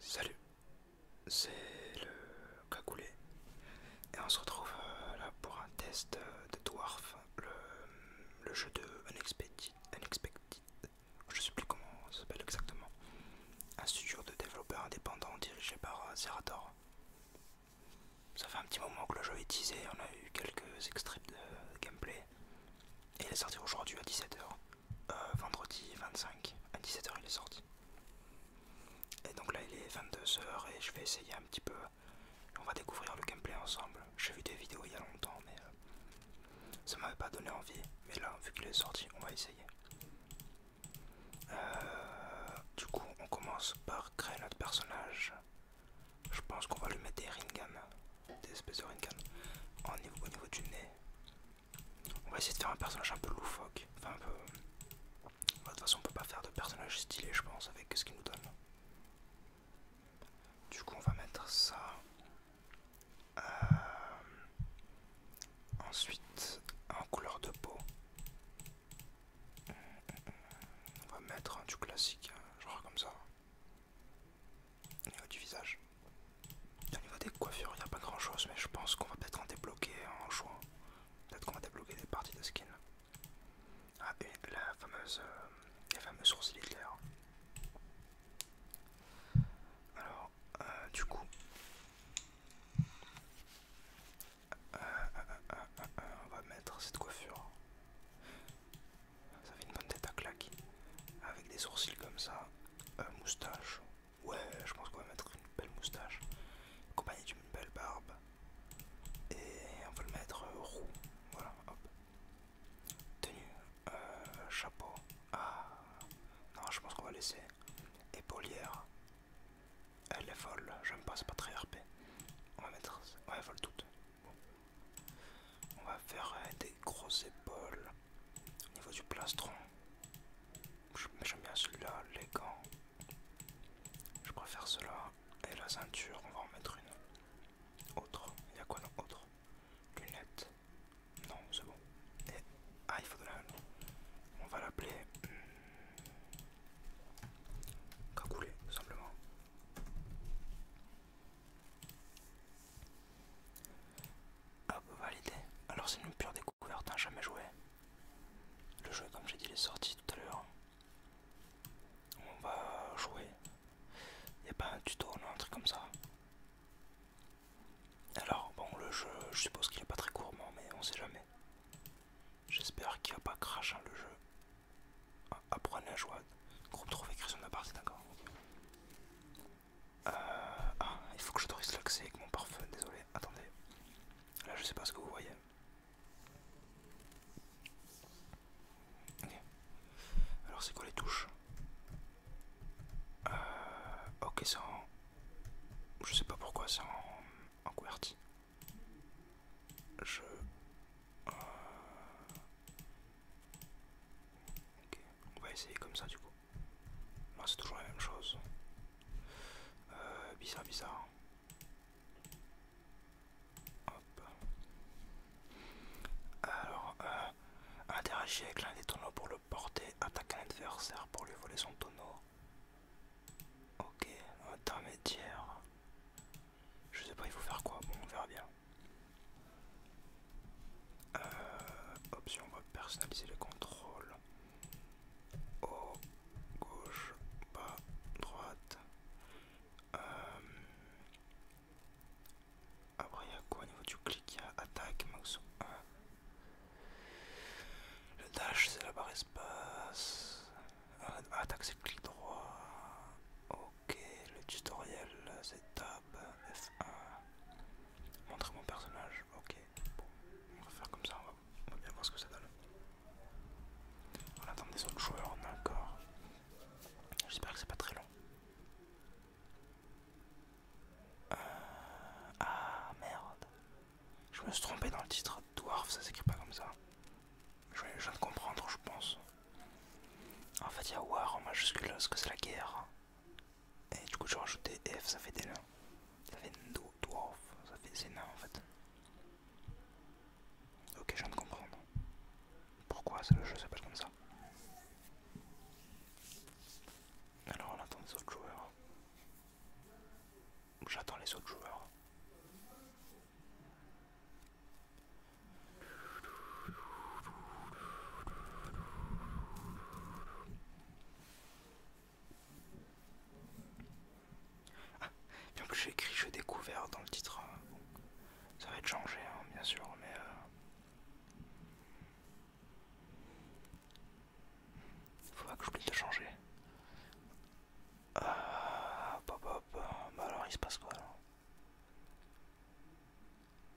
Salut, c'est le Cacoulé et on se retrouve euh, là pour un test de Dwarf, le, jeu de Unexpected, Unexpected, je sais plus comment ça s'appelle exactement, un studio de développeurs indépendant dirigé par euh, Zerator. Ça fait un petit moment que le jeu est teasé, on a eu quelques extraits de gameplay et il est sorti aujourd'hui à 17h. Euh, vendredi 25 à 17h il est sorti. Et donc là il est 22h et je vais essayer un petit peu. On va découvrir le gameplay ensemble. J'ai vu des vidéos il y a longtemps mais euh, ça m'avait pas donné envie. Mais là vu qu'il est sorti on va essayer. Euh, du coup on commence par créer notre personnage. Je pense qu'on va le mettre des ringan, des espèces de ringan au niveau du nez. On va essayer de faire un personnage un peu loufoque. Enfin, un peu. Euh, bah, de toute façon, on peut pas faire de personnage stylé, je pense, avec ce qu'il nous donne. Du coup, on va mettre ça. Euh, ensuite, en couleur de peau. On va mettre du classique, hein, genre comme ça au niveau du visage. Au niveau des coiffures, il n'y a pas grand chose, mais je pense qu'on va peut-être en débloquer en jouant. Peut-être qu'on va débloquer des parties de skin. Ah, et la fameuse, euh, les fameux sourcils Hitler. Alors, euh, du coup, euh, on va mettre cette coiffure. Ça fait une bonne tête à claquer, Avec des sourcils comme ça, moustache, Ouais, je pense qu'on va mettre une belle moustache, accompagnée d'une belle barbe. Et on va le mettre euh, roux. Voilà, hop. Tenue, euh, chapeau. Ah, non, je pense qu'on va laisser. Épaulière. Elle est folle, j'aime pas, c'est pas très RP. On va mettre. Ouais, elle toute. On va faire euh, des grosses épaules au niveau du plastron. J'aime bien celui-là, les gants. Je préfère cela. Et la ceinture, on va en mettre une. Autre. Il y a quoi d'autre autre Lunettes. Non, c'est bon. Et... Ah, il faut de On va l'appeler... Hmm, cagoulé, tout simplement. Ah, bah, validé. Alors c'est une pure découverte, hein, jamais joué. Le jeu, comme j'ai dit, il est sorti tout à l'heure. On va jouer. Il n'y a pas un tuto, non, un truc comme ça. Alors, bon, le jeu, je suppose qu'il n'est pas très court, mais on sait jamais. J'espère qu'il n'y a pas crash hein, le jeu. apprenez ah, ah, à jouer. Groupe trouvé création de la c'est d'accord. Euh, ah, il faut que j'autorise l'accès avec mon parfum, désolé. Attendez. Là, je sais pas ce que vous voyez. Alors, c'est quoi les touches euh, Ok, c'est en. Je sais pas pourquoi, c'est en, en Je. Euh, ok, on va essayer comme ça du coup c'est toujours la même chose. Euh, bizarre, bizarre. Alors, euh, interagir avec l'un des tonneaux pour le porter. attaquer un adversaire pour lui voler son tonneau. Ok, intermédiaire. Je sais pas, il faut faire quoi. Bon, on verra bien. Euh, option, on va personnaliser les contrôles. Haut, gauche, bas, droite. Euh, après, il y a quoi au niveau du clic Il y a attaque, mouse 1. Le dash, c'est la barre espace. Euh, attaque, c'est clic droit. Ok, le tutoriel, c'est ta f Montrer mon personnage. Ok, bon, on va faire comme ça, on va, bien voir ce que ça donne. On attend des autres joueurs, d'accord. J'espère que c'est pas très long. Euh, ah merde. Je me suis trompé dans le titre. Dwarf, ça s'écrit pas comme ça. Je, je viens de comprendre, je pense. En fait, il y a War en majuscule, parce que c'est la guerre. Et du coup, je rajoute F, ça fait des nains. Ça fait des dwarf, ça fait des en fait. Ok, je viens de comprendre. Pourquoi le jeu s'appelle comme ça Alors, on attend les autres joueurs. J'attends les autres joueurs. Ah, bien que j'ai écrit je découvert dans le titre, hein, ça va être changé hein, bien sûr, mais... Euh... Faut pas que j'oublie de changer. Ah, Bah alors il se passe quoi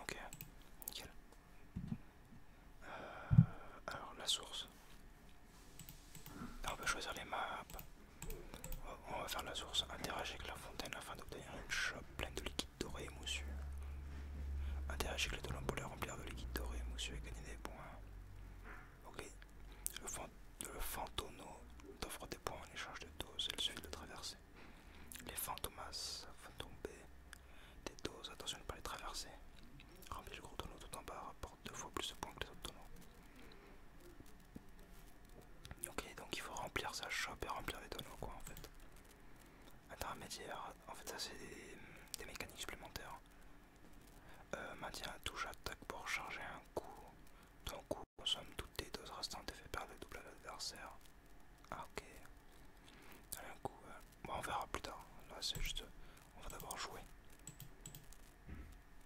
Ok, nickel. Euh, alors la source. on peut choisir les maps. On va faire la source. Interagir avec la fontaine afin d'obtenir une chope pleine de liquide doré et Interagir avec les deux pour remplir de liquide doré et et gagner des points. Ok. Le, fantôme le t'offre des points en échange de doses. le suffit de traverser. Les fantomas font des doses, attention de ne pas les traverser. Remplir le gros tonneau tout en bas, rapporte deux fois plus de points que les autres tonneaux. Ok, donc il faut remplir sa chope et remplir les tonneaux, quoi, en fait. Intermédiaire, en fait, ça c'est des, mécaniques supplémentaires. Euh, maintien touche attaque pour charger un coup. Ton coup consomme toutes tes doses restantes et fait perdre le double à l'adversaire. Ah, ok. Allez, un coup, euh, on verra plus tard. Là, c'est juste. On va d'abord jouer.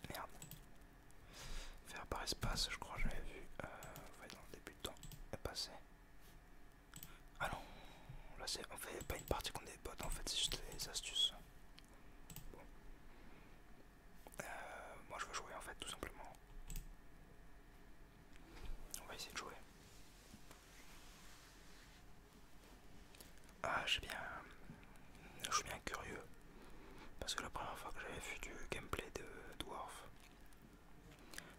Merde. Faire par espace, je crois, j'avais vu. Euh, dans le début de temps. est passer. Ah non. Là, c'est. On fait pas une partie qu'on est bottes, en fait, c'est juste les astuces. Bon. Euh, moi, je veux jouer, en fait, tout simplement. On va essayer de jouer. Ah, j'ai bien. Je suis bien curieux. Parce que la première fois que j'avais vu du gameplay de Dwarf,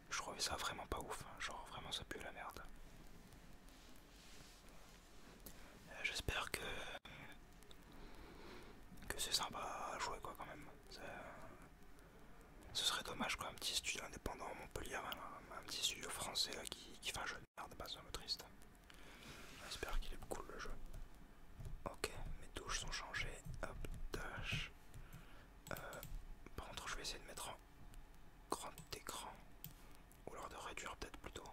je trouvais ça vraiment pas ouf. Hein. Genre, vraiment, ça pue la merde. Euh, j'espère que. que c'est sympa à jouer, quoi, quand même. Ce serait dommage quoi, un petit studio indépendant à Montpellier, un, petit studio français qui, fait un jeu de merde, pas un triste. J'espère qu'il est cool le jeu. Ok, mes touches sont changées. Hop, dash. Euh, par contre, je vais essayer de mettre en grand écran. Ou alors de réduire peut-être plutôt.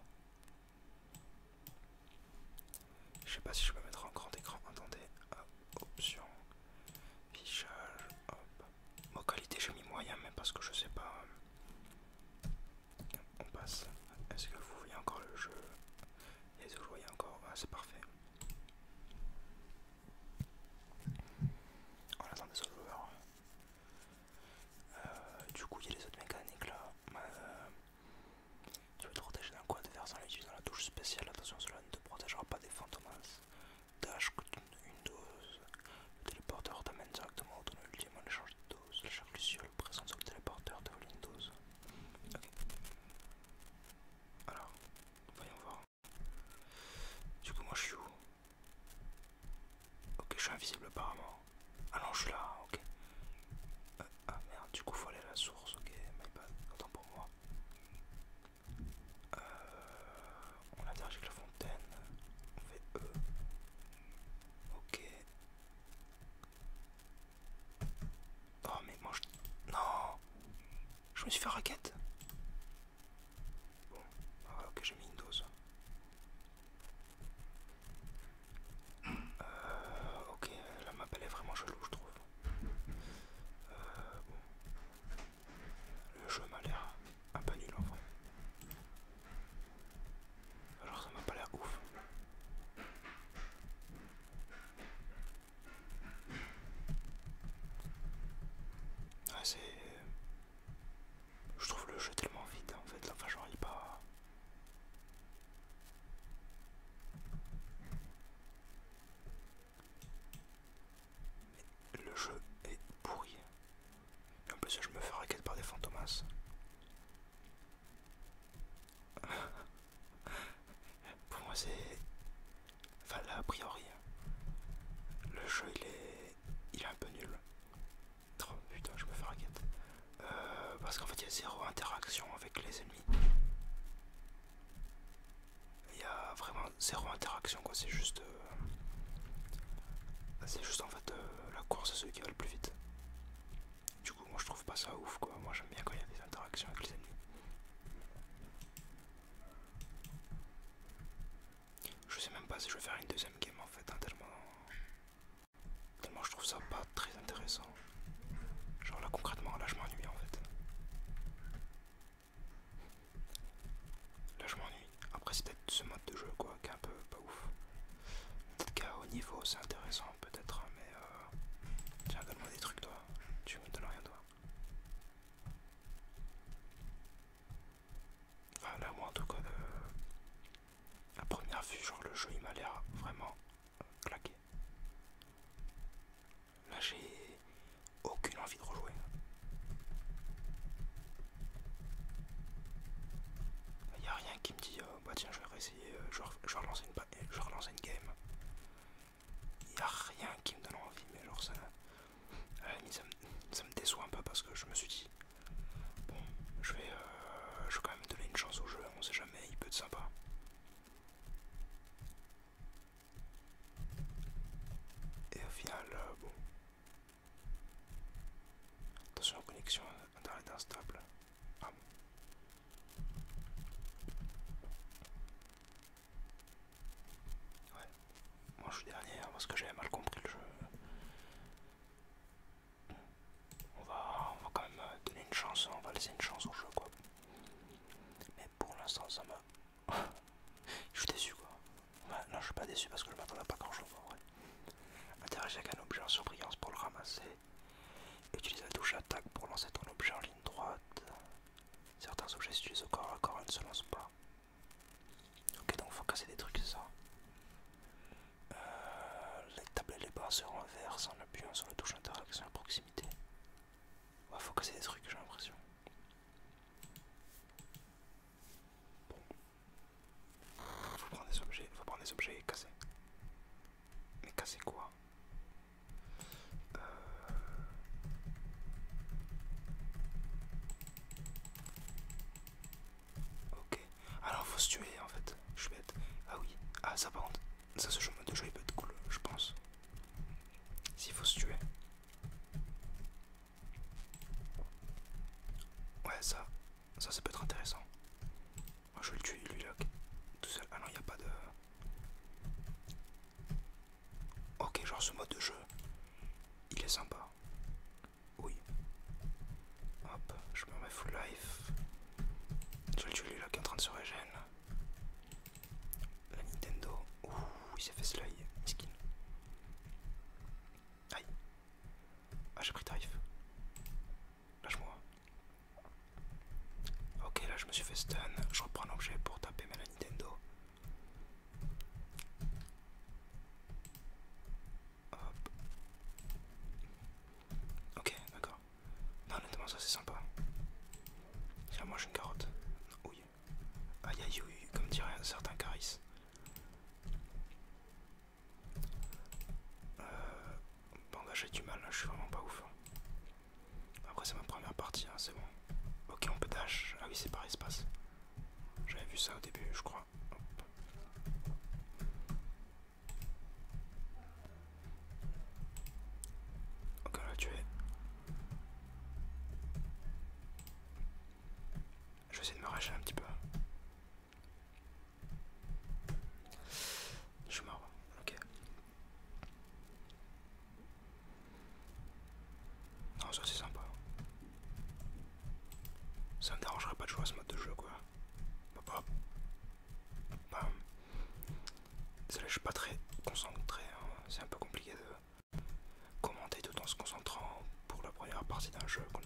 Je sais pas si je peux mettre en grand écran. Attendez, hop, option, fichage, hop. Moi qualité j'ai mis moyen mais parce que je sais pas. Euh, on passe. Est-ce que vous voyez encore le jeu Les vous voyez encore ah, c'est parfait. On oh, attend des autres joueurs. Euh, du coup il y a les autres mécaniques là. Euh, tu veux te protéger d'un coin versant en dans la touche spéciale, attention cela ne te protégera pas des fantômes dash que une, dose. Le téléporteur t'amène directement au tonneau ultime en échange de doses. Chaque luciole présente sur le téléporteur de Windows Ok. Alors, voyons voir. Du coup, moi je suis où Ok, je suis invisible apparemment. Ah non, je suis là, ok. Euh, ah merde, du coup, faut aller à la source, ok, my bad, attends pour moi. Euh, on l'a dirigé avec la fontaine. On fait E. Ok. Oh mais je... Non Je me suis fait raquette Bon, ah, ok j'ai mis une dose. Euh, ok, la map est vraiment chelou je trouve. Euh, bon. Le jeu m'a l'air un peu nul en vrai. Alors ça m'a pas l'air ouf. Ah, c'est. Je trouve le jeu tellement vide en fait, là enfin, j'en il pas le jeu est pourri. en plus, je me fais raquette par des fantomas. Pour moi, c'est. Enfin, a priori, le jeu il est. Il un peu nul. Oh, putain, je me fais raquette. Euh, parce qu'en fait, il y a zéro interaction avec les ennemis. Il y a vraiment zéro interaction quoi, c'est juste... Euh, c'est juste en fait euh, la course à celui qui va le plus vite. Du coup moi je trouve pas ça ouf quoi, moi j'aime bien quand il y a des interactions avec les ennemis. Je sais même pas si je vais faire une deuxième game en fait, hein, tellement... Tellement je trouve ça pas très intéressant. Genre là concrètement là je m'ennuie en fait. Là je m'ennuie. Après c'est peut-être ce mode de jeu quoi qui est un peu pas ouf. Peut-être qu'à haut niveau c'est intéressant peut-être hein, mais euh, Tiens donne-moi des trucs toi. Tu me donnes rien toi. là moi en tout cas euh, à première vue genre le jeu il m'a l'air vraiment claqué. Là j'ai aucune envie de rejouer. Il a rien qui me dit euh, bah tiens je vais réessayer, euh, je, vais, relancer une, je une game. Il a rien qui me donne envie, mais genre ça, ça, me, déçoit un peu parce que je me suis dit bon je vais, euh, je vais quand même donner une chance au jeu, on sait jamais, il peut être sympa. Et au final, bon, Attention, la connexion internet instable. Ah. Ouais. Moi je suis dernier parce que j'avais mal compris le jeu. On va, quand même donner une chance, hein. on va laisser une chance au jeu quoi. Mais pour l'instant ça me je suis déçu quoi. non, je suis pas déçu parce que le je m'attendais pas grand chose en vrai. Interagir avec un objet en surbrillance pour le ramasser. Utilise la touche attaque pour lancer ton objet en ligne droite. Certains objets s'utilisent au corps à corps et ne se lancent pas. Ok, donc faut casser des trucs, c'est ça. Euh, les tablettes et les bars se renversent en appuyant sur la touche interaction à proximité. Ouais, faut casser des trucs, j'ai l'impression. Bon. Faut prendre des objets, faut prendre des objets et casser. Mais casser quoi euh... Ok. Alors faut se tuer en fait. Je suis bête. Ah oui. Ah ça par contre. Ça ce jeu de jeu il peut être cool, je pense. S'il faut se tuer. Ouais ça, ça peut être intéressant. je vais le tuer lui là tout seul. Ah non il n'y a pas de... Ok genre ce mode de jeu, il est sympa. Oui. Hop, je me remets full life. Je vais le tuer lui là qui est en train de se régénérer, La Nintendo. Ouh il s'est fait slide. skin. Aïe. Ah, j'ai pris tarif. Lâche-moi. Ok, là je me suis fait stun. Je reprends l'objet pour taper ma Nintendo. Hop. Ok, d'accord. Non, honnêtement, ça c'est sympa. là moi j'ai une carotte aïe. Aïe aïe comme dirait un certain Caris. Euh, bon là j'ai du mal, je suis vraiment pas ouf. Hein. Après c'est ma première partie, hein, c'est bon. Ok on peut dash, ah oui c'est par espace. J'avais vu ça au début je crois. Ok on l'a tué. Je vais essayer de me racheter un petit peu. Je suis mort, ok. Non, ça c'est sympa. Ça me dérangerait pas de jouer à ce mode de jeu quoi. Hop hop. je suis pas très concentré, hein. c'est un peu compliqué de commenter tout en se concentrant pour la première partie d'un jeu qu'on a,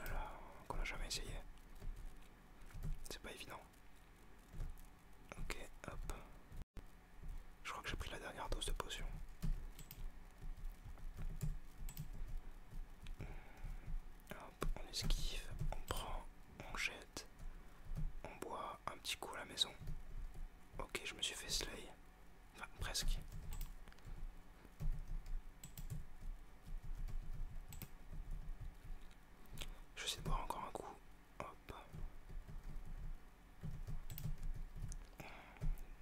jamais essayé. C'est pas évident. Ok, hop. Je crois que j'ai pris la dernière dose de potion. Hop, on esquive, on prend, on jette, on boit un petit coup à la maison. Ok, je me suis fait slay presque. Je vais essayer de boire encore un coup. Hop.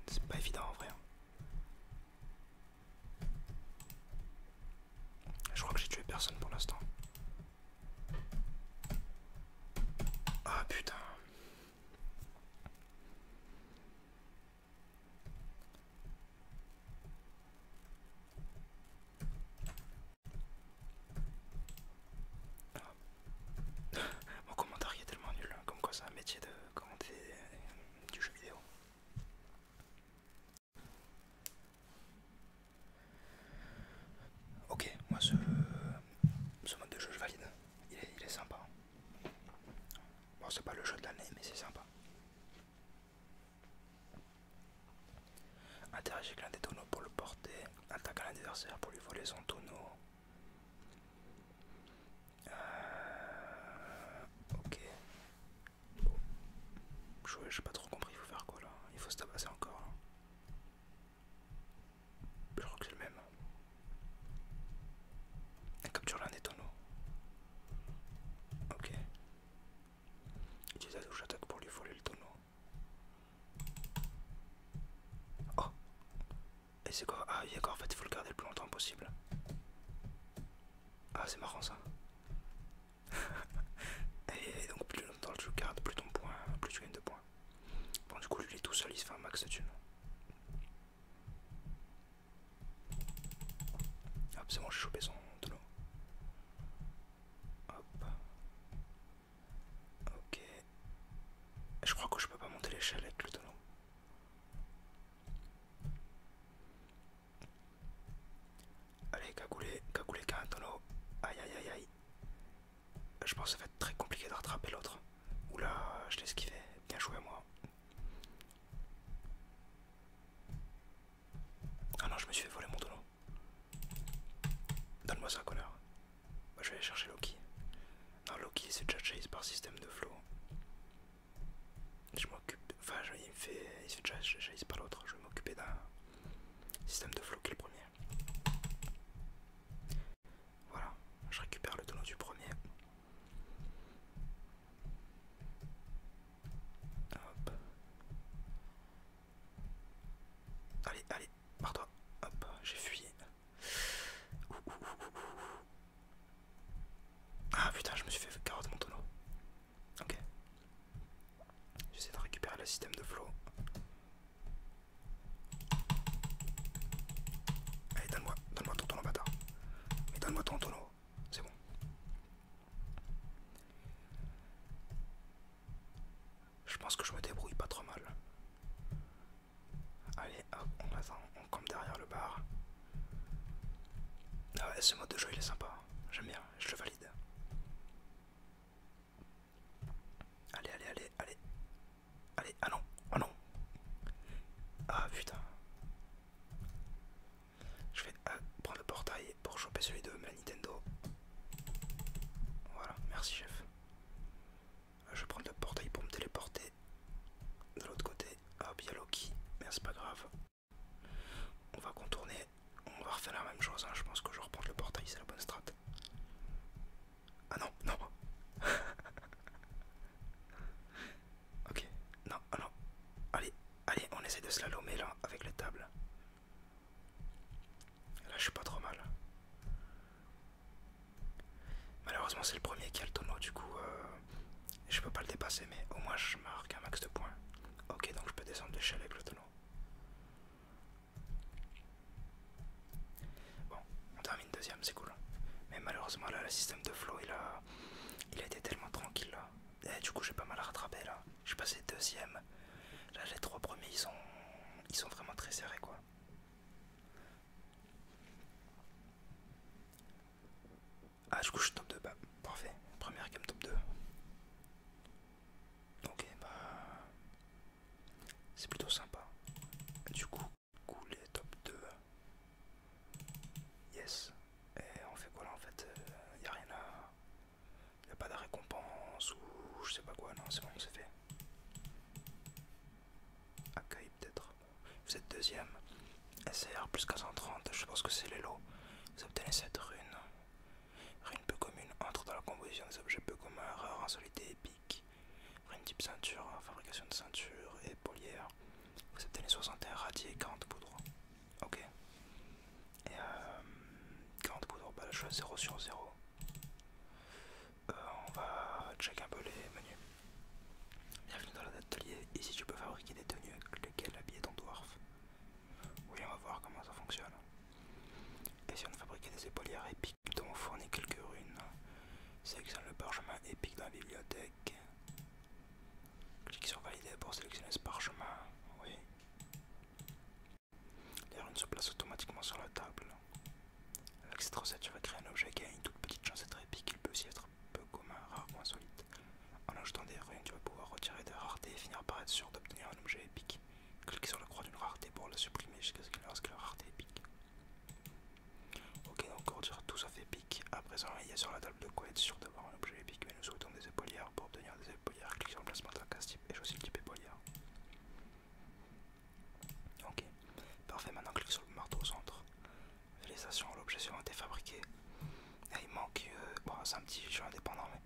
C'est pas évident en vrai. Hein. Je crois que j'ai tué personne pour l'instant. Ah putain. Ah. Mon commentaire est tellement nul, hein, comme quoi c'est un métier de commenter du jeu vidéo. Ok, moi ce, mode de jeu je valide, il est, sympa. Bon, c'est pas le jeu de l'année, mais c'est sympa. Interagir avec l'un des tonneaux pour le porter. Attaque l'adversaire adversaire pour lui voler son tonneau. Euh, ok. Jouer, Je pas trop compris, il faut faire quoi là Il faut se tabasser encore. Je crois que c'est le même. Capture l'un des tonneaux. Ok. Utilise la douche attaque pour lui voler le tonneau. Oh Et c'est quoi Ah il a d'accord en fait il faut le garder le plus longtemps possible. Ah c'est marrant ça. et donc plus longtemps tu le gardes, plus ton point, plus tu gagnes de points. Bon du coup lui il est tout seul, il se fait un max de thunes. Hop, c'est bon, j'ai chopé son tonneau. Hop. Ok. Je crois que je peux pas monter l'échelle avec le tonneau. Allez, cagoulez cagoulé qu'un tonneau. Aïe aïe aïe aïe. Je pense que ça va être très compliqué de rattraper l'autre. Oula, je l'ai esquivé. Bien joué à moi. Ah non, je me suis fait voler mon tonneau. Donne-moi ça, connard. Bah, je vais aller chercher Loki. Non, Loki, c'est déjà chase par système de flow. Je m'occupe. Enfin, il fait. Il se déjà chase par l'autre. Je vais m'occuper d'un système de flow qui est le premier. Voilà, je récupère le tonneau du premier. Allez, allez, pars-toi. Hop, j'ai fui. Ah putain, je me suis fait carotte mon tonneau. Ok. J'essaie de récupérer le système de flow. Allez, donne-moi Donne-moi ton tonneau, bâtard. Mais donne-moi ton tonneau. C'est bon. Je pense que je me débrouille pas trop mal. Allez, hop, on attend, on campe derrière le bar. Ah ouais, ce mode de jeu il est sympa. Hein. J'aime bien, je le valide. Allez, allez, allez, allez. Allez, ah non, ah non. Ah putain. Je vais ah, prendre le portail pour choper celui de la Nintendo. Voilà, merci chef. Je vais prendre le portail pour me téléporter de l'autre côté. ah bien Loki, mais c'est pas grave. On va contourner, on va refaire la même chose. Hein. Je pense que je reprends le portail, c'est la bonne strat. Ah non, non. ok, non, ah non. Allez, allez, on essaie de slalomer là avec les tables. Là, je suis pas trop mal. Malheureusement, c'est le premier qui a le tonneau, du coup, euh, je peux pas le dépasser, mais au moins je marque un max de points. Ok, donc je peux descendre de avec le tonneau on termine deuxième, c'est cool. Mais malheureusement, là, le système de flow, il a, il a été tellement tranquille. Là. Et du coup, j'ai pas mal à rattraper là. Je suis passé deuxième. Là, les trois premiers, ils sont, ils sont vraiment très serrés quoi. Ah, du coup, je suis top 2. Bah, parfait. Première game top 2. Ok, bah. C'est plutôt sympa. Du coup, couler top 2. Yes. Et on fait quoi là en fait Il euh, a rien à... Il a pas de récompense ou je sais pas quoi. Non, c'est bon, c'est fait. Accueil peut-être. Vous êtes deuxième. SR plus 430, je pense que c'est les lots. Vous obtenez cette rune. Rune peu commune entre dans la composition des objets peu communs, erreur, insolité, et Rune une type ceinture, hein, fabrication de ceinture épaulière, Vous êtes années 61 radier 40 poudres. Ok. Et euh, 40 poudres, bah je suis 0 sur 0. Euh, on va check un peu les menus. Bienvenue dans l'atelier. Ici tu peux fabriquer des tenues avec lesquelles habiller ton dwarf. Oui, on va voir comment ça fonctionne. Et si on fabriquait des épaulières épiques, dont on fournit quelques runes Sélectionne le parchemin épique dans la bibliothèque. Clique sur valider pour sélectionner ce parchemin. Oui. Les runes se placent automatiquement sur la table. Avec cette recette, tu vas créer un objet qui a une toute petite chance d'être épique. Il peut aussi être peu commun, rare ou insolite. En ajoutant des runes, tu vas pouvoir retirer des raretés et finir par être sûr d'obtenir un objet épique. Clique sur la croix d'une rareté pour la supprimer jusqu'à ce qu'il ne que rareté épique. Ok, donc dire tout ça fait pique, À présent, il y a sur la table de quoi être sûr d'avoir un objet épique, mais nous souhaitons des épaulières. Pour obtenir des épaulières, clique sur le placement la casse type et choisis le type épaulière. Ok, parfait. Maintenant, clique sur le marteau au centre. Félicitations, l'objet suivant a fabriqué. il manque, euh, bon, c'est un petit jeu indépendant, mais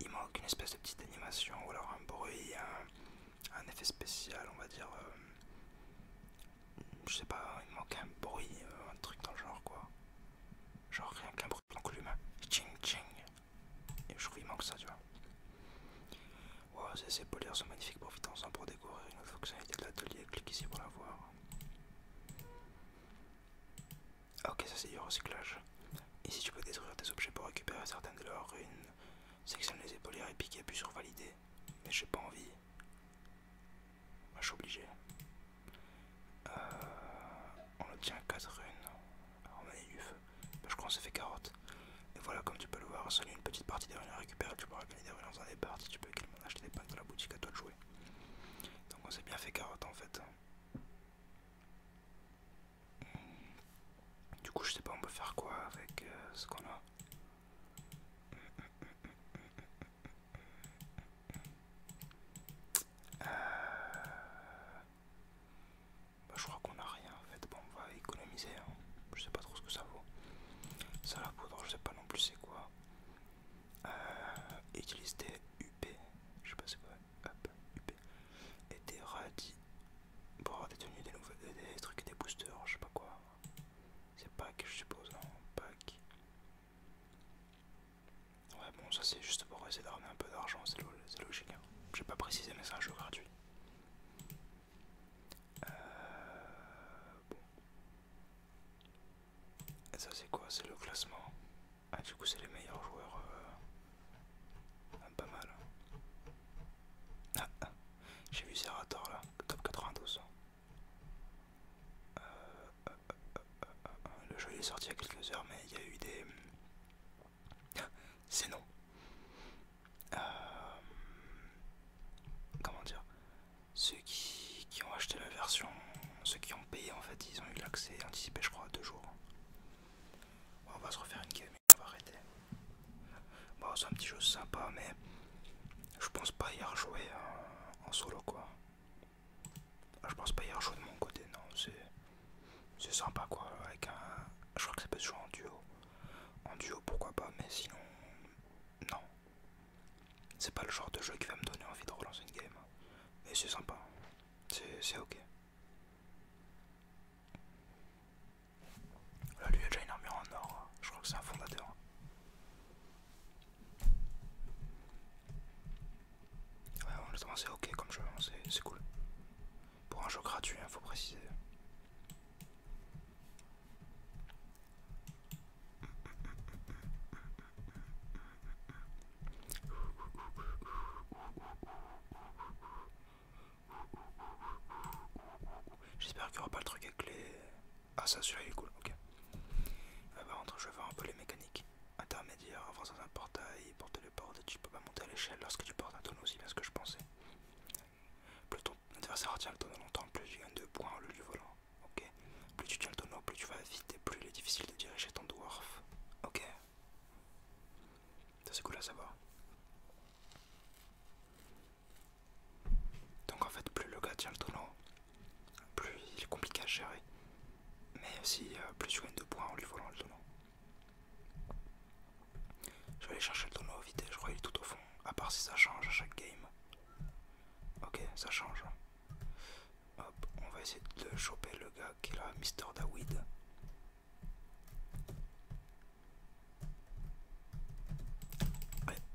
il manque une espèce de petite animation ou alors un bruit, un, effet spécial, on va dire. Euh, je sais pas, il manque un bruit, euh, un truc dans le genre quoi. Genre rien qu'un bruit donc l'humain. Ching ching. je trouve qu'il manque ça, tu vois. Wow, ces épaulières sont magnifiques, profitons-en pour découvrir une autre fonctionnalité de l'atelier, clique ici pour la voir. Ah, ok, ça c'est du recyclage. Ici tu peux détruire des objets pour récupérer certaines de leurs ruines. Sectionne les épaulières et pique, appuie sur valider mais j'ai pas envie. je suis obligé. Euh, on obtient 4 runes. On du feu. Bah, je crois qu'on s'est fait carotte. Et voilà, comme tu peux le voir, C'est une petite partie des runes à récupérer. Tu pourras gagner des dans un départ parties. Tu peux également acheter des packs dans la boutique à toi de jouer. Donc on s'est bien fait carotte en fait. Du coup, je sais pas, on peut faire quoi avec euh, ce qu'on a. Euh, bah, je crois qu'on a rien en fait. Bon, on va économiser. Hein. Je sais pas trop ce que ça vaut. Ça, la poudre, je sais pas non plus c'est quoi. Euh, utilise des UP. Je sais pas c'est quoi. UP. Et des radis. Pour des tenues, des, des trucs et des boosters, je sais pas quoi. C'est Pâques, je suppose, non Pâques. Ouais, bon, ça c'est juste pour essayer d'armer un peu d'argent, c'est logique. Hein. J'ai pas précisé, mais c'est un jeu gratuit. Euh, Et ça c'est quoi C'est le classement. Ah, du coup, c'est les meilleurs joueurs. Euh, ah, pas mal. Hein. Ah, ah, J'ai vu Serator là, top 92. Euh, le jeu est sorti il y a quelques heures, mais il y a eu des. C'est non. Euh, comment dire Ceux qui, ont acheté la version, ceux qui ont payé en fait, ils ont eu l'accès anticipé, je crois, deux jours. on va se refaire une game et on va arrêter. Bon, c'est un petit jeu sympa, mais je pense pas y rejouer euh, en, solo quoi. Ah, je pense pas y rejouer de mon côté, non. C'est sympa quoi. Avec un, je crois que ça peut se jouer en duo. En duo, pourquoi pas, mais sinon, non. C'est pas le genre de jeu qui va me donner envie de relancer une game. Mais c'est sympa. C'est ok. Là, lui, il a déjà une armure en or. Hein. Je crois que c'est un fondateur. Ouais, honnêtement, c'est ok comme jeu, hein, c'est cool. Pour un jeu gratuit, il hein, faut préciser. J'espère qu'il n'y aura pas le truc avec clé. Ah ça celui-là il est cool, ok. Euh, par contre je vais voir un peu les mécaniques. Intermédiaire, avance dans un portail, portes et tu peux pas monter à l'échelle lorsque tu portes un tonneau, aussi bien ce que je pensais. Plus ton adversaire tient le tonneau longtemps, plus tu gagnes deux points au lieu du volant. Ok. Plus tu tiens le tonneau, plus tu vas vite et plus il est difficile de diriger ton dwarf. Ok. Ça c'est cool à savoir. Donc en fait, plus le gars tient le tonneau, plus il est compliqué à gérer. Mais aussi, euh, plus tu gagnes de points en lui volant le tonneau. Je vais aller chercher le tonneau vite, je crois qu'il est tout au fond, à part si ça change à chaque game. Ok, ça change. Hop, on va essayer de choper le gars qui est là, Mr. Dawid.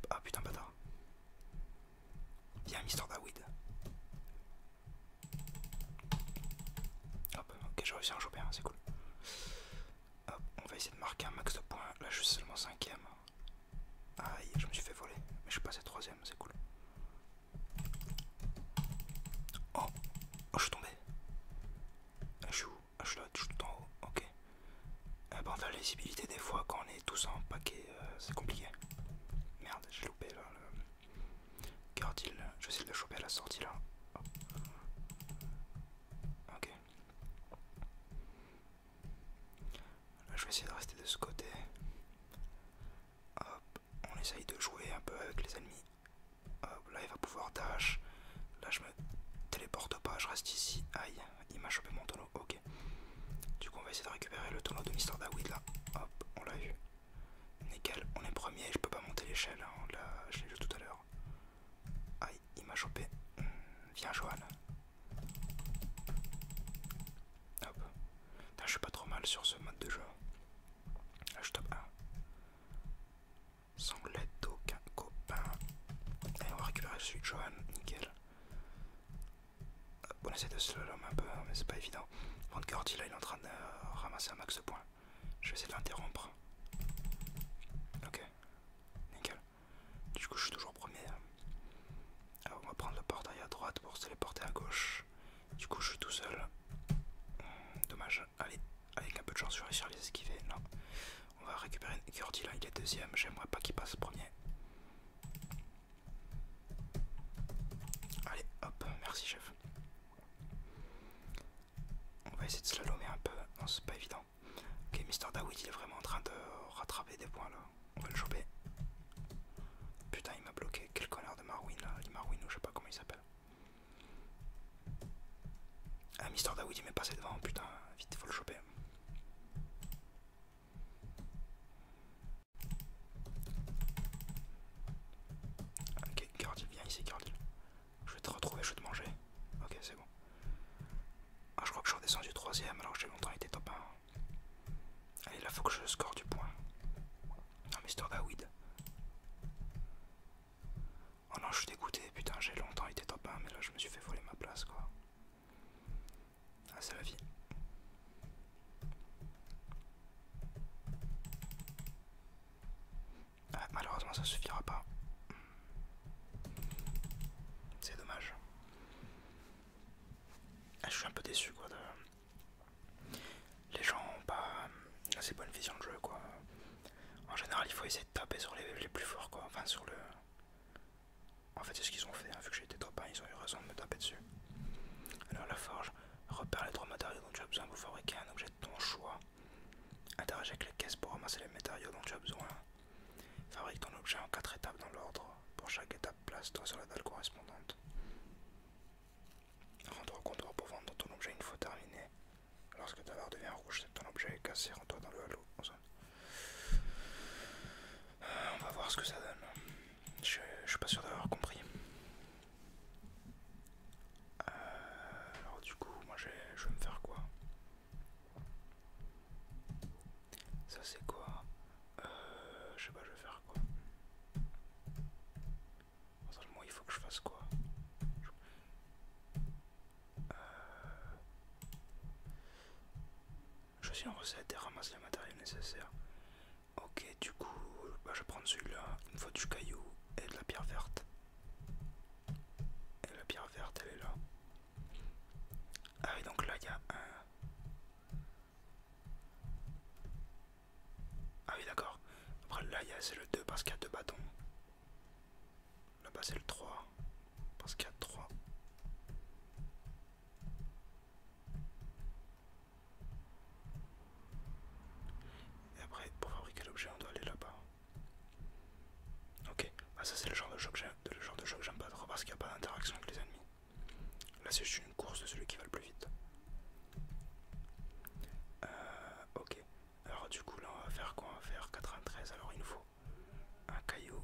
Ah putain, bâtard. un Mister David. Hop, ok, j'ai réussi à en un, c'est cool. Hop, on va essayer de marquer un max de points. Là, je suis seulement cinquième. Aïe, je me suis fait voler. Mais je suis passé troisième, c'est cool. Oh, oh je suis tombé. je suis où ah, je suis tout en haut, ok. Eh ben, on fait, la lisibilité des fois quand on est tous en paquet, euh, c'est compliqué. Merde, j'ai loupé là le je vais essayer de le choper à la sortie là. Ok. Là, je vais essayer de rester de ce côté. Hop, on essaye de jouer un peu avec les ennemis. Hop, là il va pouvoir dash. Là je me téléporte pas, je reste ici. Aïe, il m'a chopé mon tonneau ok. Du coup, on va essayer de récupérer le tonneau de Mister Dawid là. Hop, on l'a eu. Nickel, on est premier, je peux pas monter l'échelle, hein, je l'ai vu tout à l'heure. Aïe, il m'a chopé. Hmm, viens, Johan. Hop. je suis pas trop mal sur ce mode de jeu. Là, je top 1. Sans l'aide copain. Allez, on va récupérer celui de Johan, nickel. On essaie de slow un peu, hein, mais c'est pas évident. Vanguard, là, il est en train de euh, ramasser un max de points. Je vais essayer de l'interrompre. Ok, nickel. Du coup, je suis toujours premier. Hein. Ah, on va prendre le portail à droite pour se téléporter à gauche. Du coup, je suis tout seul. Dommage. Allez, avec un peu de chance, je vais les esquiver. Non. On va récupérer Gordy là, il est deuxième, j'aimerais pas qu'il passe premier. Allez, hop, merci chef. On va essayer de slalomer un peu, non c'est pas évident. Ok, Mister Dawood il est vraiment en train de rattraper des points là, on va le choper. Putain il m'a bloqué, quel connard de Marwin là, il Marwin ou je sais pas comment il s'appelle. Ah Mister Dawood il m'est passé devant, putain, vite faut le choper. Ok, Gardil viens ici, Gardil, Je vais te retrouver, je vais te manger. Ok, c'est bon. Ah, je crois que je suis redescendu troisième alors j'ai longtemps été top 1. Allez, là, faut que je score du point. Non, mais d'Awid. Oh non, je suis dégoûté, putain, j'ai longtemps été top 1, mais là, je me suis fait voler ma place, quoi. Ah, c'est la vie. Ah, malheureusement, ça suffira pas. C'est dommage. Ah, je suis un peu déçu quoi. De... Les gens ont pas assez bonne vision de jeu quoi. En général, il faut essayer de taper sur les, les plus forts quoi. Enfin, sur le en fait, c'est ce qu'ils ont fait, hein. vu que j'ai été trop pas, ils ont eu raison de me taper dessus. Alors, la forge, repère les trois matériaux dont tu as besoin pour fabriquer un objet de ton choix. Interagis avec les caisses pour ramasser les matériaux dont tu as besoin. Fabrique ton objet en 4 étapes dans l'ordre. Pour chaque étape, place-toi sur la dalle correspondante. Rends-toi au comptoir pour vendre ton objet une fois terminé. Lorsque ta barre devient rouge, c'est ton objet est cassé, rends-toi dans le halo on va voir ce que ça donne. Je, ne suis pas sûr d'avoir compris. Euh, alors du coup, moi je vais me faire quoi Ça c'est quoi euh, Je sais pas, je vais faire quoi Moi il faut que je fasse quoi euh, je Choisis en recette et ramasse le matériel nécessaire. Ok, du coup, bah, je vais prendre celui-là. Il me faut du caillou et de la pierre verte. Et la pierre verte, elle est là. Ah oui, donc là, il y a un... Ah oui, d'accord. Après, là, il c'est le 2 parce qu'il y a deux bâtons. Là-bas c'est le 3. Parce qu'il y a 3. Et après, pour fabriquer l'objet, on doit aller là-bas. Ok, ah, ça c'est le genre de jeu que j'aime pas trop parce qu'il n'y a pas d'interaction avec les ennemis. Là c'est juste une course de celui qui va le plus vite. Euh, ok, alors du coup là on va faire quoi On va faire 93, alors il nous faut un caillou.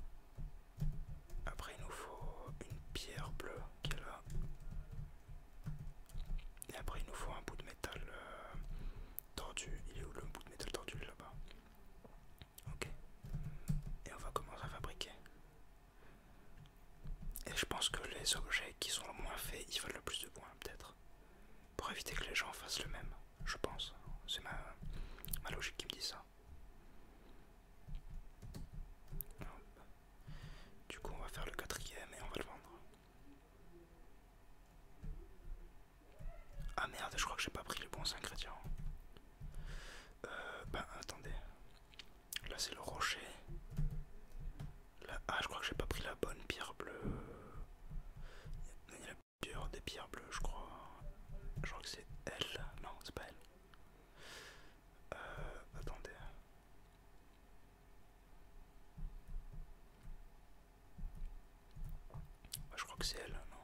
Après, il nous faut une pierre bleue qui est là. Et après, il nous faut un bout de métal euh, tordu. Il est où le bout de métal tordu là-bas Ok. Et on va commencer à fabriquer. Et je pense que les objets qui sont le moins faits, ils valent le plus de points, peut-être. Pour éviter que les gens fassent le même, je pense. C'est ma logique qui me dit ça. Du coup, on va faire le quatrième et on va le vendre. Ah merde, je crois que j'ai pas pris les bons ingrédients. Euh, ben attendez. Là, c'est le rocher. ah, je crois que j'ai pas pris la bonne pierre bleue des pierres bleues, je crois. Je crois que c'est elle. Non, c'est pas elle. Euh, attendez. Je crois que c'est elle, non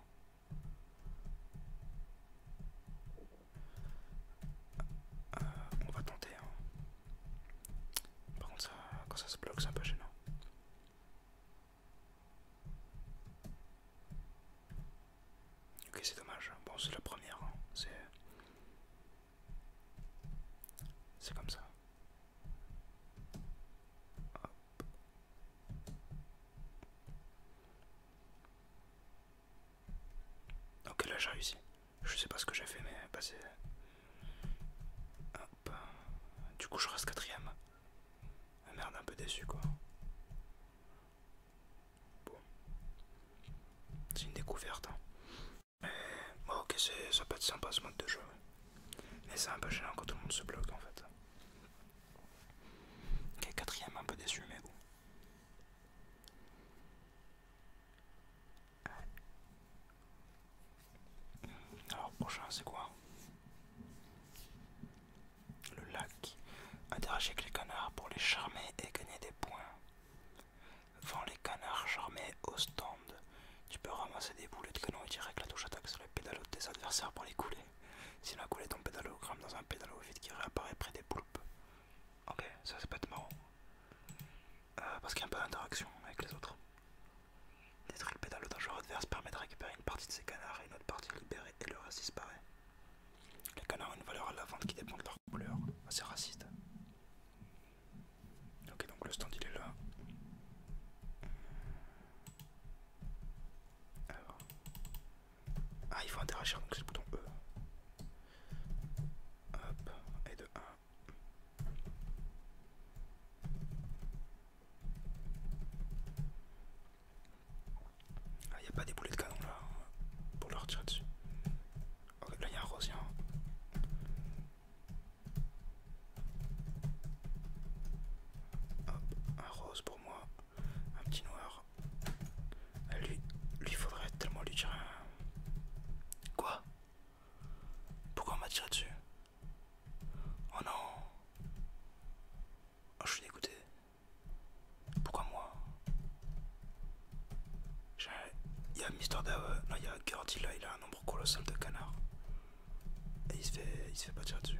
euh, On va tenter. Hein. Par contre, ça, quand ça se bloque, c'est un peu gênant. Ok, c'est dommage. Bon, c'est la première. Hein. C'est. comme ça. Ok, là j'ai réussi. Je sais pas ce que j'ai fait, mais bah c'est. Du coup, je reste quatrième merde, un peu déçu quoi. Bon. C'est une découverte. Hein. ok, ça peut être sympa ce mode de jeu. Mais c'est un peu gênant quand tout le monde se bloque en fait. Ok, quatrième, un peu déçu, mais bon. Alors prochain c'est quoi le lac, Interagir avec les canards pour les charmer et gagner des points. Vends les canards charmés au stand. Tu peux ramasser des boulets de canon et tirer avec la touche attaque sur les pédalos de tes adversaires pour les couler. Si la coulé ton pédalo, gramme dans un pédalo vide qui réapparaît près des poulpes. Ok, ça c'est peut-être marrant. Euh, parce qu'il y a un peu d'interaction avec les autres. Détruire le pédalo d'un joueur adverse permet de récupérer une partie de ces canards et une autre partie libérée et le reste disparaît. Les canards ont une valeur à la vente qui dépend de leur couleur. assez raciste. Ok, donc le stand il est là. Ah, il faut interagir donc c'est le bouton E. Hop, et de 1. Ah, il n'y a pas des boulets de canon là hein, pour leur tirer dessus. Oh, là il y a un rose, hein. Hop, un rose pour moi, un petit noir. Ah, lui, lui faudrait tellement lui tirer un... Quoi Pourquoi on m'a tiré dessus Oh non Oh je suis dégoûté. Pourquoi moi Il y a Mister Dave, euh, Non, il y a Gordy là, il a un nombre colossal de canards. Et il se fait, il se fait pas tirer dessus.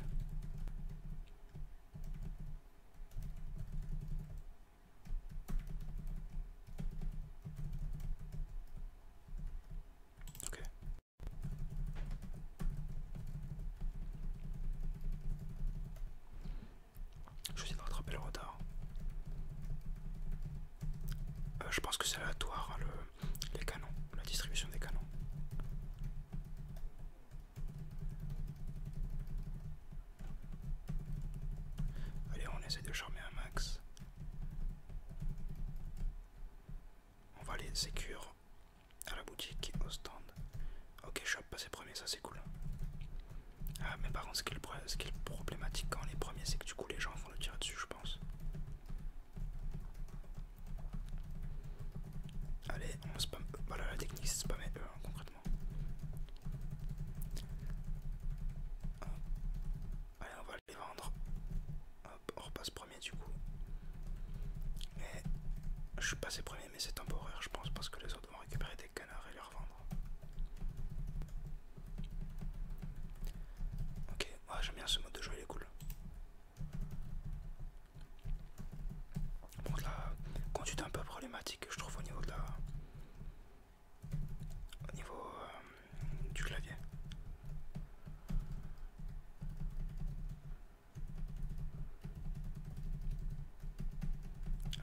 Ok. Je vais de rattraper le retard. Euh, je pense que c'est aléatoire hein, les canons, la distribution des canons. Allez, on essaie de charmer un max. On va aller sécure à la boutique, au stand. Ok, je suis passé premier, ça c'est cool. Ah, mais par contre, ce qui, est problématique quand on est premier, c'est que du coup les gens vont le tirer dessus, je pense. Allez, on spam. Voilà, la technique c'est spammer eux hein, concrètement. Allez, on va les vendre. Hop, on repasse premier du coup. Mais je suis passé premiers mais c'est temporaire, je pense, parce que les autres vont récupérer des canards et les revendre. Ok, moi j'aime bien ce mode de jeu, il est cool. donc la conduite un peu problématique, je trouve, au niveau de la. au niveau euh, du clavier.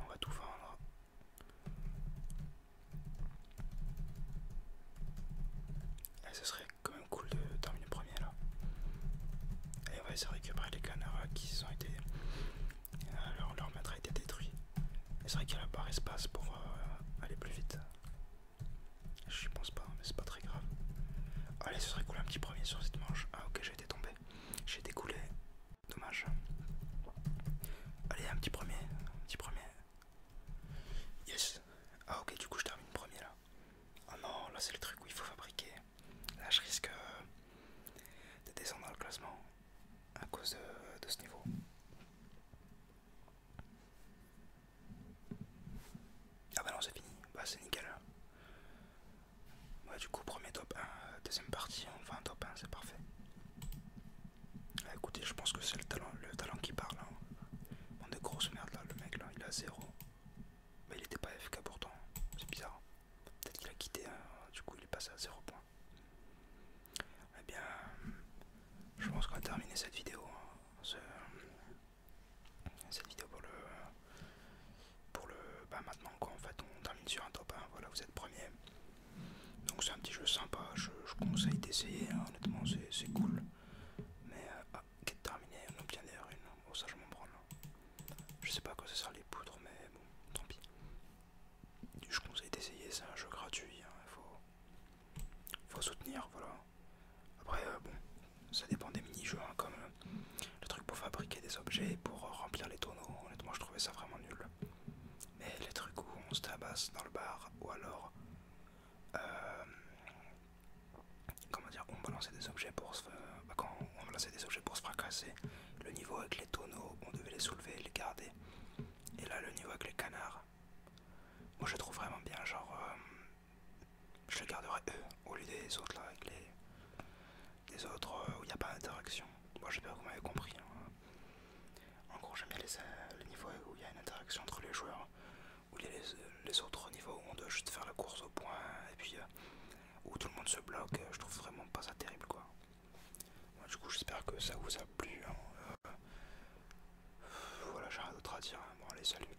On va tout vendre. Et ce serait quand même cool de terminer premier là. Et on va essayer de récupérer les canards qui sont été. Euh, leur, leur maître a été détruit. Et c'est vrai qu'il y a barre espace pour euh, aller plus vite. Je pense pas, mais c'est pas très grave. Allez, ce serait cool un petit premier sur cette manche. Ah ok, j'ai été tombé. J'ai été Dommage. Allez, un petit premier. Un petit premier. Yes. Ah ok, du coup je termine premier là. Oh non, là c'est le truc où il faut fabriquer. Là je risque euh, de descendre dans le classement à cause de ce niveau. Ah bah non, c'est fini. Bah c'est nickel. Bah, du coup, premier top 1, euh, deuxième partie, on un top 1, c'est parfait. Bah, écoutez, je pense que c'est le talent, le talent qui parle. Hein. On est grosse merde là, le mec là, il a zéro. Mais bah, il était pas FK pourtant, hein. c'est bizarre. Hein. Peut-être qu'il a quitté, hein. du coup il est passé à 0 points. Eh bien, je pense qu'on a terminé cette vidéo cette vidéo pour le pour le bah maintenant quoi en fait on termine sur un top voilà vous êtes premier donc c'est un petit jeu sympa je, conseille d'essayer hein, honnêtement c'est cool mais euh, ah, qui est terminé terminée on obtient derrière une oh ça je m'en prends là. je sais pas à quoi ça sert les poudres mais bon tant pis je conseille d'essayer c'est un jeu gratuit hein, il faut faut soutenir voilà après euh, bon ça dépend des mini-jeux, hein, comme euh, le truc pour fabriquer des objets, pour euh, remplir les tonneaux, honnêtement je trouvais ça vraiment nul. Mais les trucs où on se tabasse dans le bar, ou alors, euh, comment dire, on balançait des objets pour se, bah, des objets pour se fracasser, le niveau avec les tonneaux, on devait les soulever les garder. Et là le niveau avec les canards, moi je trouve vraiment bien, genre je les garderai eux au lieu des autres là avec les, autres euh, où il n'y a pas d'interaction. Moi bon, j'espère que vous m'avez compris. Hein. En gros j'aime bien euh, les, niveaux où il y a une interaction entre les joueurs, où il y a les, autres niveaux où on doit juste faire la course au point et puis euh, où tout le monde se bloque. Je trouve vraiment pas ça terrible quoi. du coup j'espère que ça vous a plu. Hein. voilà j'ai rien d'autre à dire. Hein. Bon allez salut.